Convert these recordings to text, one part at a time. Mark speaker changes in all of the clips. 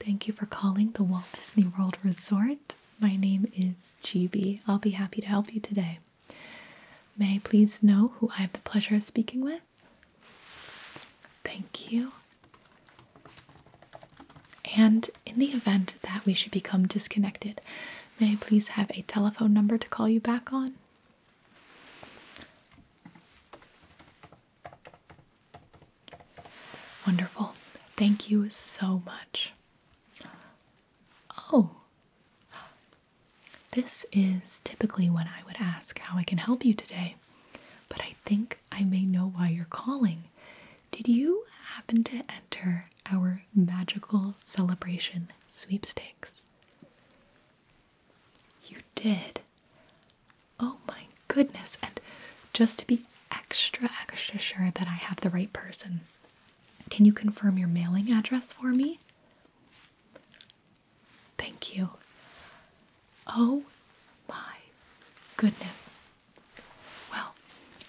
Speaker 1: Thank you for calling the Walt Disney World Resort. My name is GB. I'll be happy to help you today. May I please know who I have the pleasure of speaking with? Thank you. And in the event that we should become disconnected, may I please have a telephone number to call you back on? Wonderful. Thank you so much. Oh, this is typically when I would ask how I can help you today, but I think I may know why you're calling. Did you happen to enter our magical celebration sweepstakes? You did. Oh my goodness. And just to be extra, extra sure that I have the right person, can you confirm your mailing address for me? Thank you. Oh my goodness. Well,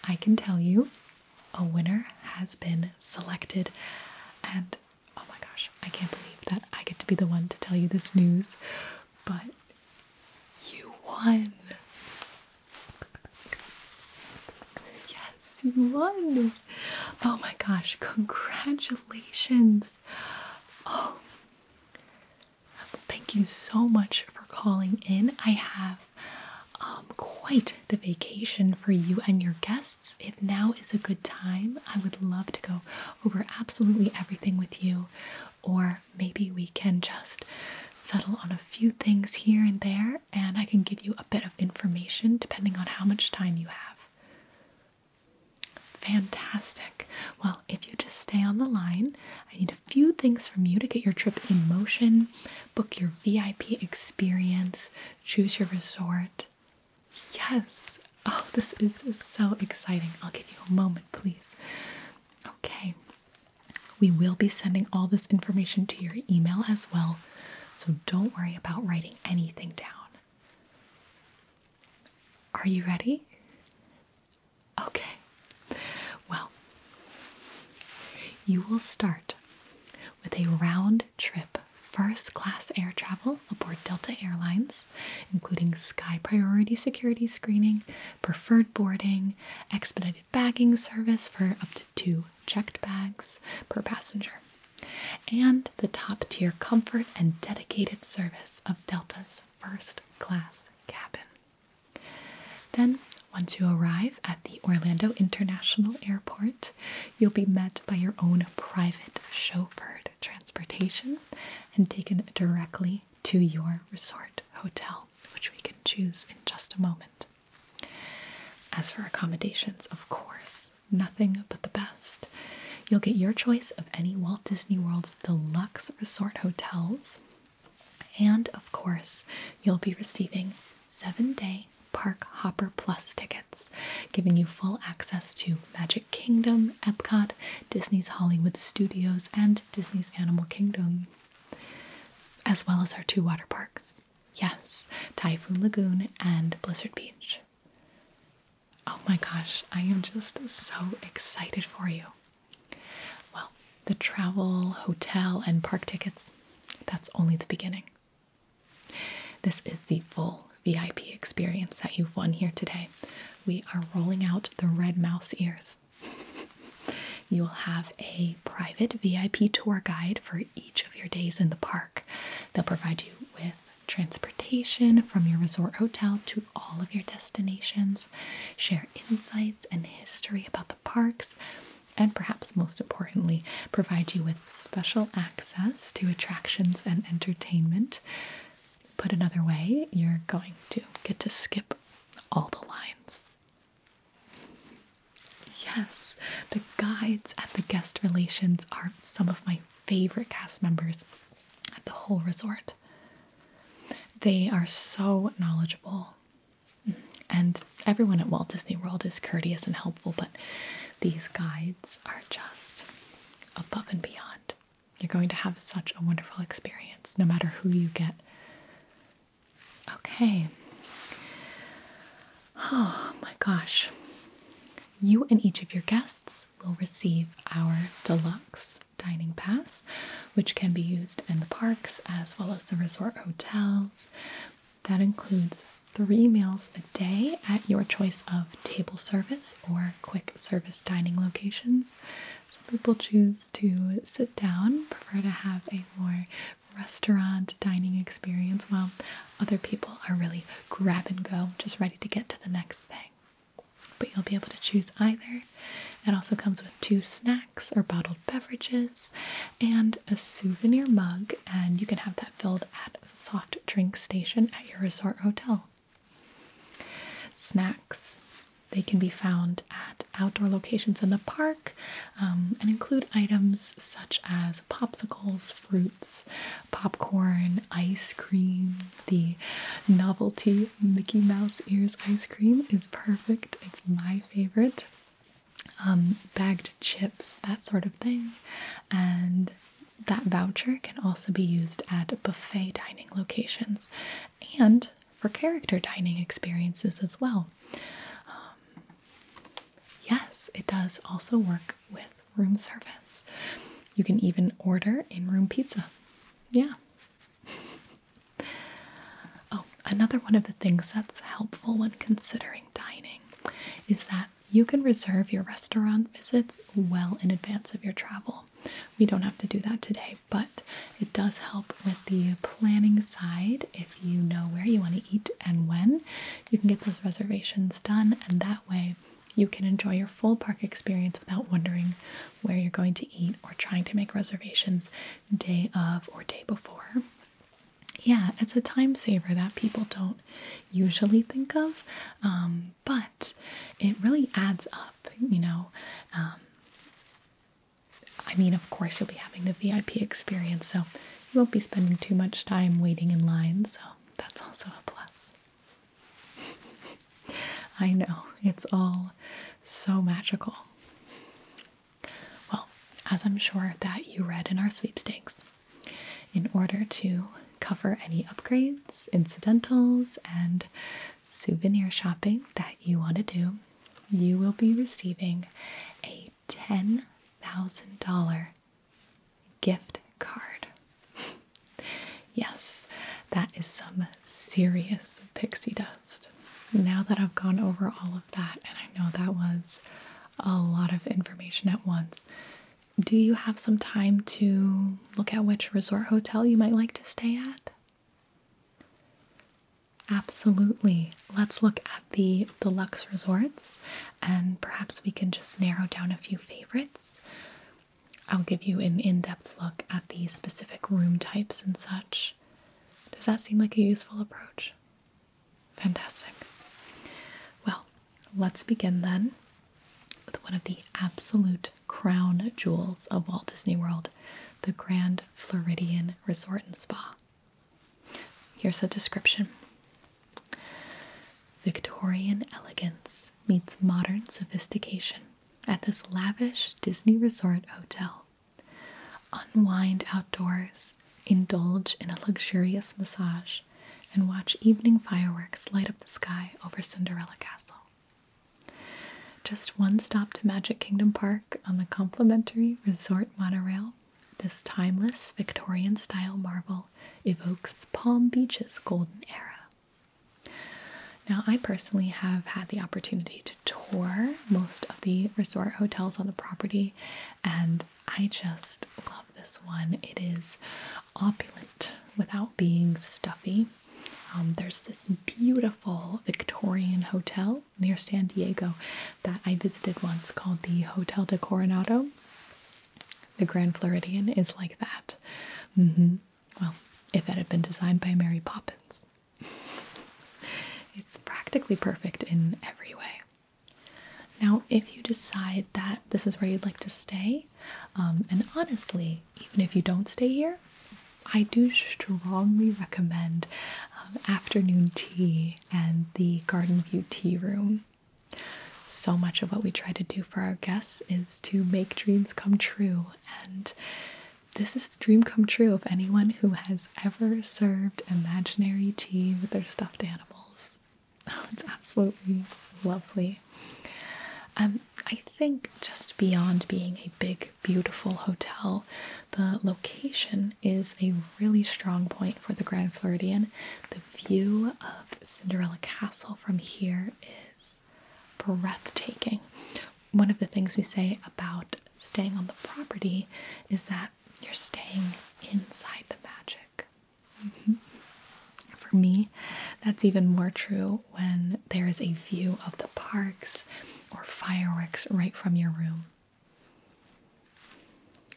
Speaker 1: I can tell you a winner has been selected. And oh my gosh, I can't believe that I get to be the one to tell you this news. But you won. Yes, you won. Oh my gosh, congratulations. Oh, thank you so much for calling in. I have um, quite the vacation for you and your guests. If now is a good time, I would love to go over absolutely everything with you or maybe we can just settle on a few things here and there, and I can give you a bit of information depending on how much time you have. Fantastic. Well, if you just stay on the line, I need a few things from you to get your trip in motion, book your VIP experience, choose your resort. Yes! Oh, this is so exciting. I'll give you a moment, please. Okay. We will be sending all this information to your email as well, so don't worry about writing anything down. Are you ready? Okay. Well, you will start with a round trip first class air travel aboard Delta Airlines, including sky priority security screening preferred boarding, expedited bagging service for up to two checked bags per passenger, and the top tier comfort and dedicated service of Delta's first class cabin. Then, once you arrive at the Orlando International Airport, you'll be met by your own private chauffeured transportation and taken directly to your resort hotel, which we can choose in just a moment. As for accommodations, of course, nothing but the best. You'll get your choice of any Walt Disney World's deluxe resort hotels. And of course, you'll be receiving seven day Park Hopper Plus tickets, giving you full access to Magic Kingdom, Epcot, Disney's Hollywood Studios, and Disney's Animal Kingdom, as well as our two water parks. Yes, Typhoon Lagoon and Blizzard Beach. Oh my gosh, I am just so excited for you. Well, the travel, hotel, and park tickets, that's only the beginning. This is the full VIP experience that you've won here today. We are rolling out the red mouse ears. You'll have a private VIP tour guide for each of your days in the park. They'll provide you with transportation from your resort hotel to all of your destinations, share insights and history about the parks, and perhaps most importantly, provide you with special access to attractions and entertainment. Put another way, you're going to get to skip all the lines. Yes, the guides at the guest relations are some of my favorite cast members at the whole resort. They are so knowledgeable. And everyone at Walt Disney World is courteous and helpful, but these guides are just above and beyond. You're going to have such a wonderful experience no matter who you get. Okay. Oh my gosh. You and each of your guests will receive our deluxe dining pass, which can be used in the parks as well as the resort hotels. That includes three meals a day at your choice of table service or quick service dining locations, people choose to sit down, prefer to have a more restaurant dining experience, while other people are really grab and go, just ready to get to the next thing. But you'll be able to choose either. It also comes with two snacks or bottled beverages and a souvenir mug, and you can have that filled at a soft drink station at your resort hotel. Snacks they can be found at outdoor locations in the park um, and include items such as popsicles, fruits, popcorn, ice cream. The novelty Mickey Mouse ears ice cream is perfect, it's my favorite. Um, bagged chips, that sort of thing. And that voucher can also be used at buffet dining locations and for character dining experiences as well. Um, yes, it does also work with room service. You can even order in room pizza. Yeah. Oh, another one of the things that's helpful when considering dining is that you can reserve your restaurant visits well in advance of your travel. We don't have to do that today, but it does help with the planning side. If you know where you want to eat and when, you can get those reservations done, and that way you can enjoy your full park experience without wondering where you're going to eat or trying to make reservations day of or day before. Yeah, it's a time saver that people don't usually think of, um, but it really adds up, you know. Um, I mean, of course, you'll be having the VIP experience, so you won't be spending too much time waiting in line, so that's also a plus. I know, it's all so magical. Well, as I'm sure that you read in our sweepstakes, in order to cover any upgrades, incidentals, and souvenir shopping that you want to do, you will be receiving a $10,000 gift card. yes, that is some serious pixie dust. Now that I've gone over all of that, and I know that was a lot of information at once, do you have some time to look at which resort hotel you might like to stay at? Absolutely. Let's look at the deluxe resorts and perhaps we can just narrow down a few favorites. I'll give you an in depth look at the specific room types and such. Does that seem like a useful approach? Fantastic. Well, let's begin then with one of the absolute crown jewels of Walt Disney World the Grand Floridian Resort and Spa. Here's a description Victorian elegance meets modern sophistication at this lavish Disney Resort hotel. Unwind outdoors, indulge in a luxurious massage, and watch evening fireworks light up the sky over Cinderella Castle. Just one stop to Magic Kingdom Park on the complimentary resort monorail. This timeless Victorian style marvel evokes Palm Beach's golden era. Now, I personally have had the opportunity to tour most of the resort hotels on the property, and I just love this one. It is opulent without being stuffy. Um, there's this beautiful Victorian hotel near San Diego that I visited once called the Hotel de Coronado. The Grand Floridian is like that. Mm-hmm. Well, if it had been designed by Mary Poppins, it's practically perfect in every way. Now, if you decide that this is where you'd like to stay, um, and honestly, even if you don't stay here, I do strongly recommend um, afternoon tea and the garden view tea room. So much of what we try to do for our guests is to make dreams come true, and this is dream come true of anyone who has ever served imaginary tea with their stuffed animals. it's absolutely lovely. Um, I think just beyond being a big, beautiful hotel, the location is a really strong point for the Grand Floridian. The view of Cinderella Castle from here is breathtaking. One of the things we say about staying on the property is that you're staying inside the magic. Mm-hmm. For me, that's even more true when there is a view of the parks or fireworks right from your room.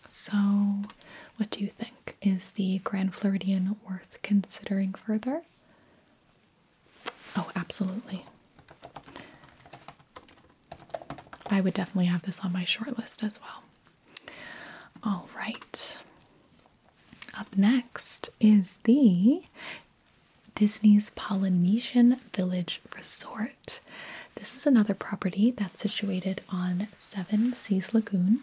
Speaker 1: So, what do you think? Is the Grand Floridian worth considering further? Oh, absolutely. I would definitely have this on my short list as well. All right. Up next is the Disney's Polynesian Village Resort. This is another property that's situated on Seven Seas Lagoon.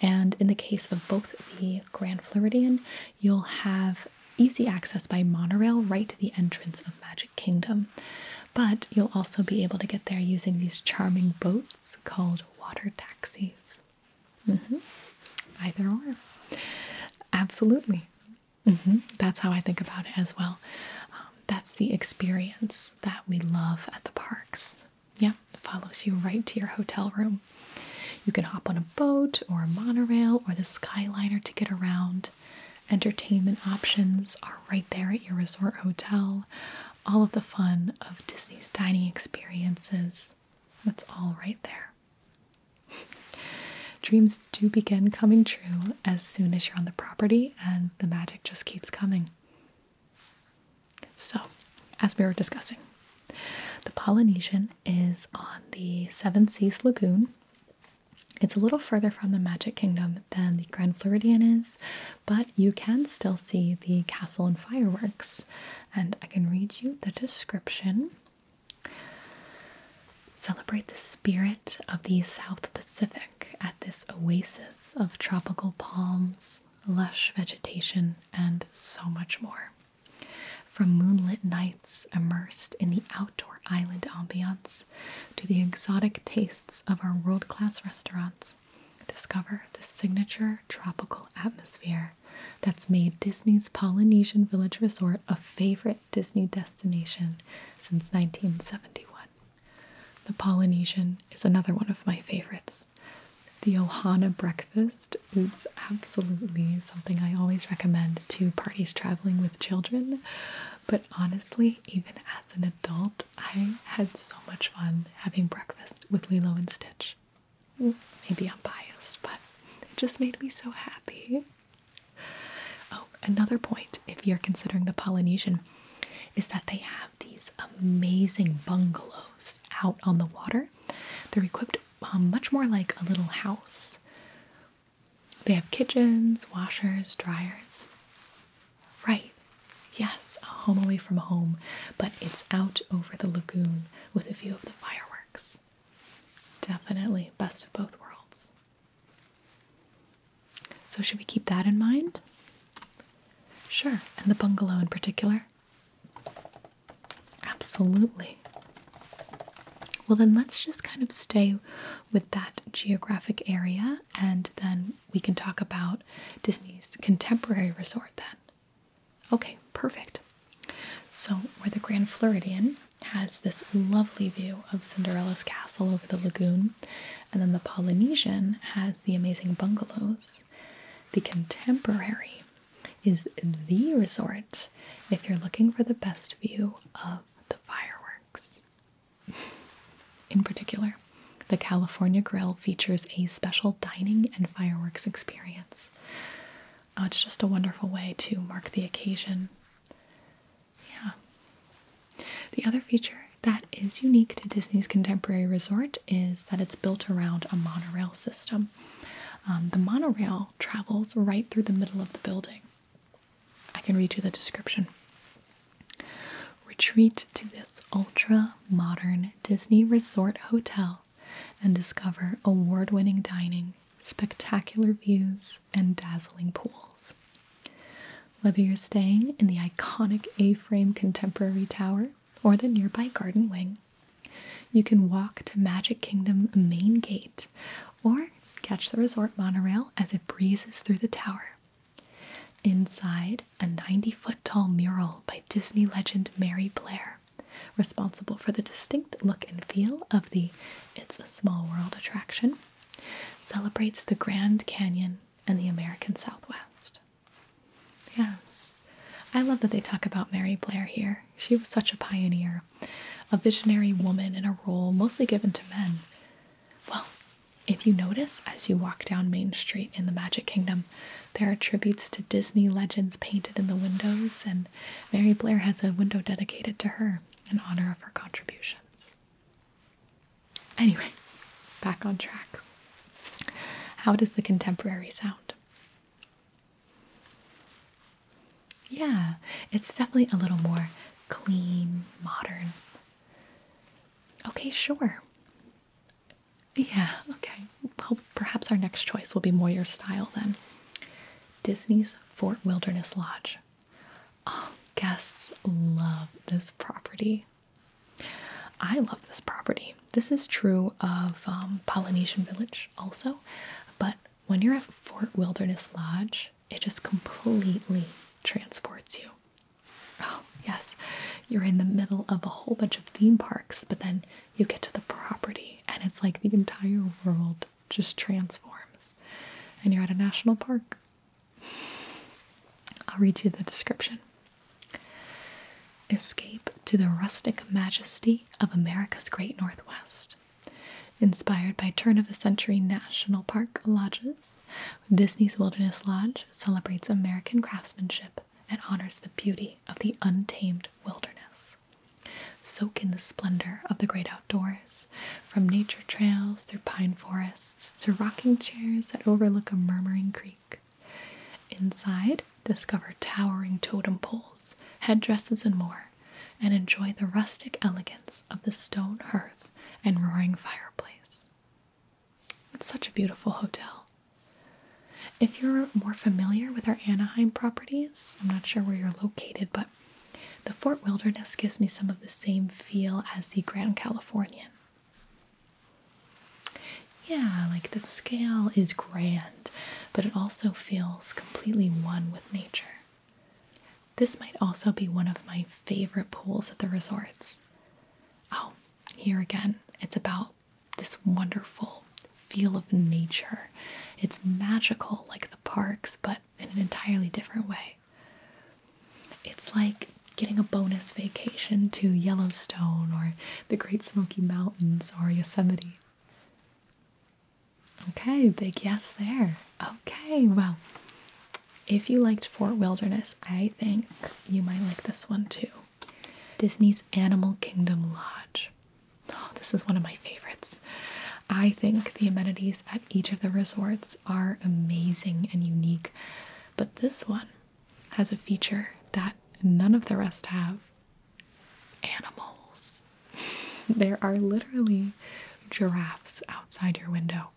Speaker 1: And in the case of both the Grand Floridian, you'll have easy access by monorail right to the entrance of Magic Kingdom. But you'll also be able to get there using these charming boats called water taxis. Mm -hmm. Either or. Absolutely. Mm-hmm. That's how I think about it as well. Um, that's the experience that we love at the parks. Yeah, follows you right to your hotel room. You can hop on a boat or a monorail or the Skyliner to get around. Entertainment options are right there at your resort hotel. All of the fun of Disney's dining experiences, that's all right there. Dreams do begin coming true as soon as you're on the property, and the magic just keeps coming. So, as we were discussing, the Polynesian is on the Seven Seas Lagoon. It's a little further from the Magic Kingdom than the Grand Floridian is, but you can still see the castle and fireworks. And I can read you the description. Celebrate the spirit of the South Pacific at this oasis of tropical palms, lush vegetation, and so much more. From moonlit nights immersed in the outdoor island ambiance to the exotic tastes of our world class restaurants, discover the signature tropical atmosphere that's made Disney's Polynesian Village Resort a favorite. Disney destination since 1971. The Polynesian is another one of my favorites. The Ohana breakfast is absolutely something I always recommend to parties traveling with children. But honestly, even as an adult, I had so much fun having breakfast with Lilo and Stitch. Maybe I'm biased, but it just made me so happy. Oh, another point if you're considering the Polynesian is that they have these amazing bungalows out on the water. They're equipped um, much more like a little house. They have kitchens, washers, dryers. Right. Yes, a home away from home, but it's out over the lagoon with a view of the fireworks. Definitely best of both worlds. So, should we keep that in mind? Sure, and the bungalow in particular? Absolutely. Well, then let's just kind of stay with that geographic area and then we can talk about Disney's contemporary resort then. Okay, perfect. So, we're the Grand Floridian, has this lovely view of Cinderella's castle over the lagoon, and then the Polynesian has the amazing bungalows. The Contemporary is the resort if you're looking for the best view of the fireworks. In particular, the California Grill features a special dining and fireworks experience. Oh, it's just a wonderful way to mark the occasion. Yeah. The other feature that is unique to Disney's Contemporary Resort is that it's built around a monorail system. Um, the monorail travels right through the middle of the building. I can read you the description. Retreat to this ultra modern Disney Resort hotel and discover award winning dining, spectacular views, and dazzling pools. Whether you're staying in the iconic A frame Contemporary Tower or the nearby Garden Wing, you can walk to Magic Kingdom Main Gate or catch the resort monorail as it breezes through the tower. Inside, a 90 foot tall mural by Disney legend Mary Blair, responsible for the distinct look and feel of the It's a Small World attraction, Celebrates the Grand Canyon and the American Southwest. Yes, I love that they talk about Mary Blair here. She was such a pioneer, a visionary woman in a role mostly given to men. Well, if you notice as you walk down Main Street in the Magic Kingdom, there are tributes to Disney legends painted in the windows, and Mary Blair has a window dedicated to her in honor of her contribution. Anyway, back on track. How does the contemporary sound? Yeah, it's definitely a little more clean, modern. Okay, sure. Yeah, okay. Well, perhaps our next choice will be more your style then. Disney's Fort Wilderness Lodge. Oh, guests love this property. I love this property. This is true of um, Polynesian Village also, but when you're at Fort Wilderness Lodge, it just completely transports you. Oh, yes, you're in the middle of a whole bunch of theme parks, but then you get to the property and it's like the entire world just transforms. And you're at a national park. I'll read you the description. Escape to the rustic majesty of America's Great Northwest. Inspired by turn of the century national park lodges, Disney's Wilderness Lodge celebrates American craftsmanship and honors the beauty of the untamed wilderness. Soak in the splendor of the great outdoors from nature trails through pine forests to rocking chairs that overlook a murmuring creek. Inside, discover towering totem poles, headdresses, and more, and enjoy the rustic elegance of the stone hearth and roaring fireplace. It's such a beautiful hotel. If you're more familiar with our Anaheim properties, I'm not sure where you're located, but the Fort Wilderness gives me some of the same feel as the Grand Californian. Yeah, like the scale is grand, but it also feels completely one with nature. This might also be one of my favorite pools at the resorts. Oh, here again, it's about this wonderful feel of nature. It's magical like the parks, but in an entirely different way. It's like getting a bonus vacation to Yellowstone or the Great Smoky Mountains or Yosemite. Okay, big yes there. Okay, well, if you liked Fort Wilderness, I think you might like this one too. Disney's Animal Kingdom Lodge. Oh, this is one of my favorites. I think the amenities each of the resorts are amazing and unique, but this one has a feature that none of the rest have animals. there are literally giraffes outside your window.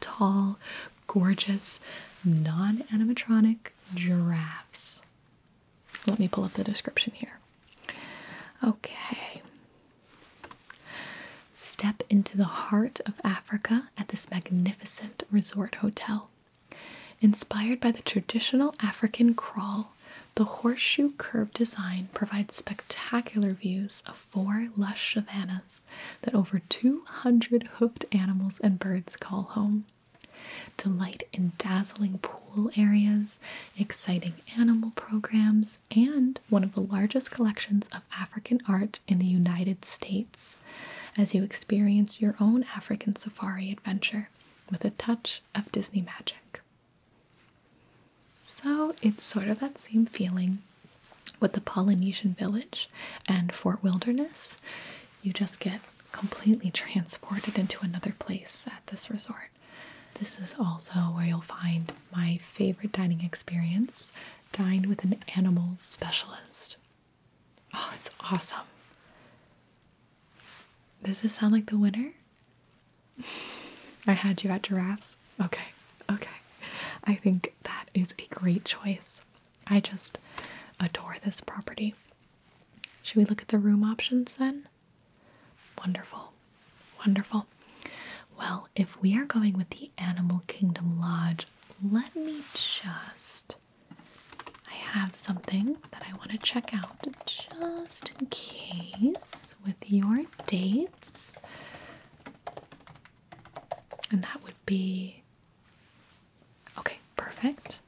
Speaker 1: Tall, gorgeous, non animatronic giraffes. Let me pull up the description here. Okay, Step into the heart of Africa at this magnificent resort hotel. Inspired by the traditional African kraal, the horseshoe curve design provides spectacular views of four lush savannas that over 200 hoofed animals and birds call home. Delight in dazzling pool areas, exciting animal programs, and one of the largest collections of African art in the United States as you experience your own African safari adventure with a touch of Disney magic. So it's sort of that same feeling with the Polynesian village and Fort Wilderness. You just get completely transported into another place at this resort. This is also where you'll find my favorite dining experience dine with an animal specialist. Oh, it's awesome. Does this sound like the winner? I had you at giraffes. Okay, okay. I think that is a great choice. I just adore this property. Should we look at the room options then? Wonderful. Wonderful. Well, if we are going with the Animal Kingdom Lodge, let me just. I have something that I want to check out just in case with your dates. And that would be. Okay, perfect.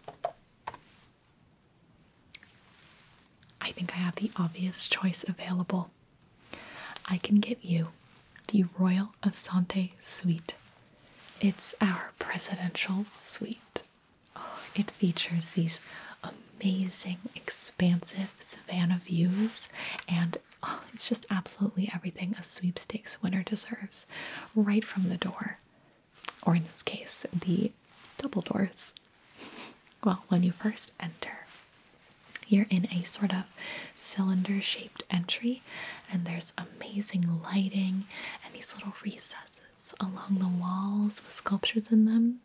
Speaker 1: I think I have the obvious choice available. I can get you the Royal Asante Suite. It's our presidential suite. Oh, it features these amazing, expansive Savannah views, and oh, it's just absolutely everything a sweepstakes winner deserves right from the door, or in this case, the double doors. well, when you first enter, you're in a sort of cylinder shaped entry, and there's amazing lighting and these little recesses along the walls with sculptures in them.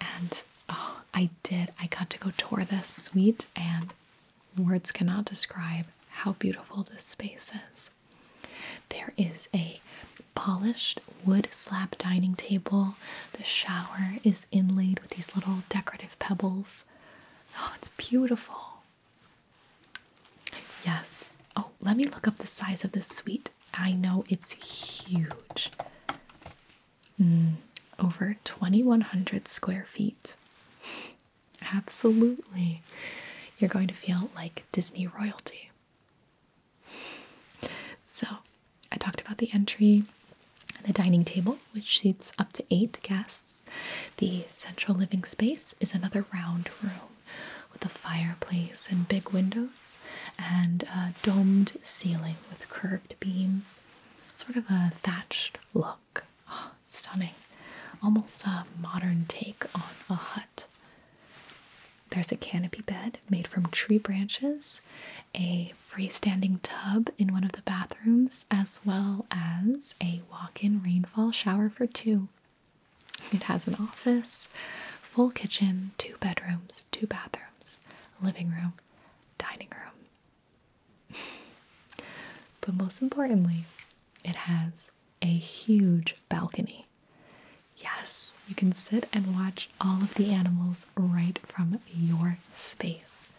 Speaker 1: And oh, I did, I got to go tour this suite, and words cannot describe how beautiful this space is. There is a polished wood slab dining table. The shower is inlaid with these little decorative pebbles. Oh, it's beautiful. Yes. Oh, let me look up the size of the suite. I know it's huge. Mm, over 2,100 square feet. Absolutely. You're going to feel like Disney royalty. So, I talked about the entry and the dining table, which seats up to eight guests. The central living space is another round room with a fireplace and big windows and a domed ceiling with curved beams, sort of a thatched look. stunning. Almost a modern take on a hut. There's a canopy bed made from tree branches a freestanding tub in one of the bathrooms, as well as a walk in rainfall shower for two. It has an office, full kitchen, two bedrooms, two bathrooms, living room, dining room. but most importantly, it has a huge balcony. Yes, you can sit and watch all of the animals right from your space.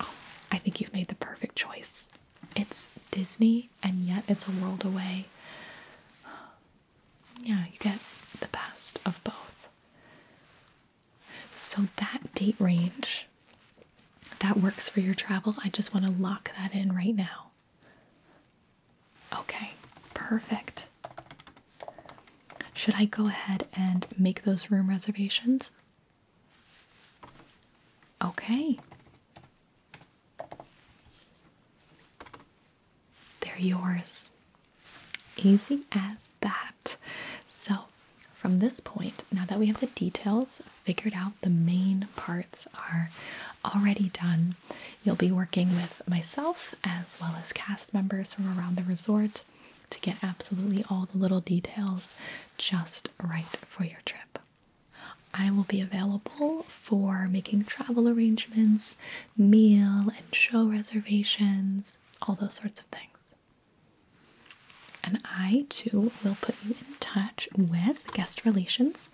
Speaker 1: Oh, I think you've made the perfect choice. It's Disney and yet it's a world away. Yeah, you get the best of both. So that date range that works for your travel, I just want to lock that in right now. Okay, perfect. Should I go ahead and make those room reservations? Okay. They're yours. Easy as that. So, from this point, now that we have the details figured out, the main parts are already done. You'll be working with myself as well as cast members from around the resort to get absolutely all the little details just right for your trip. I will be available for making travel arrangements, meal and show reservations, all those sorts of things. And I too will put you in touch with guest relations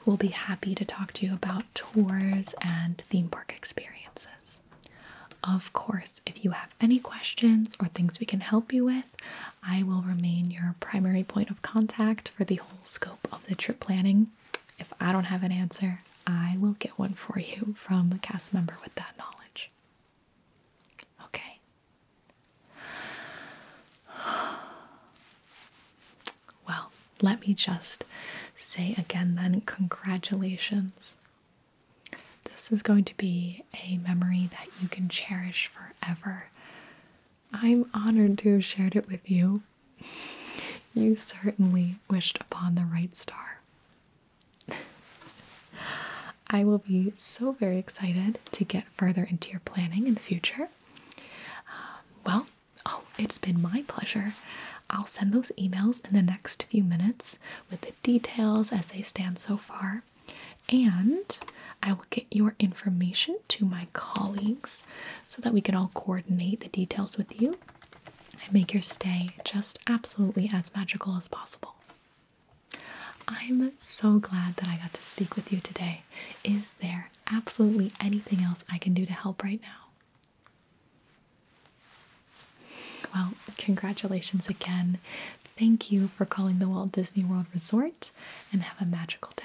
Speaker 1: who will be happy to talk to you about tours and theme park experiences. Of course, if you have any questions or things we can help you with, I will remain your primary point of contact for the whole scope of the trip planning. If I don't have an answer, I will get one for you from a cast member with that knowledge. Okay. Well, let me just say again then, congratulations this is going to be a memory that you can cherish forever. I'm honored to have shared it with you. You certainly wished upon the right star. I will be so very excited to get further into your planning in the future. Um, well, oh, it's been my pleasure. I'll send those emails in the next few minutes with the details as they stand so far. And I will get your information to my colleagues so that we can all coordinate the details with you and make your stay just absolutely as magical as possible. I'm so glad that I got to speak with you today. Is there absolutely anything else I can do to help right now? Well, congratulations again. Thank you for calling the Walt Disney World Resort and have a magical day.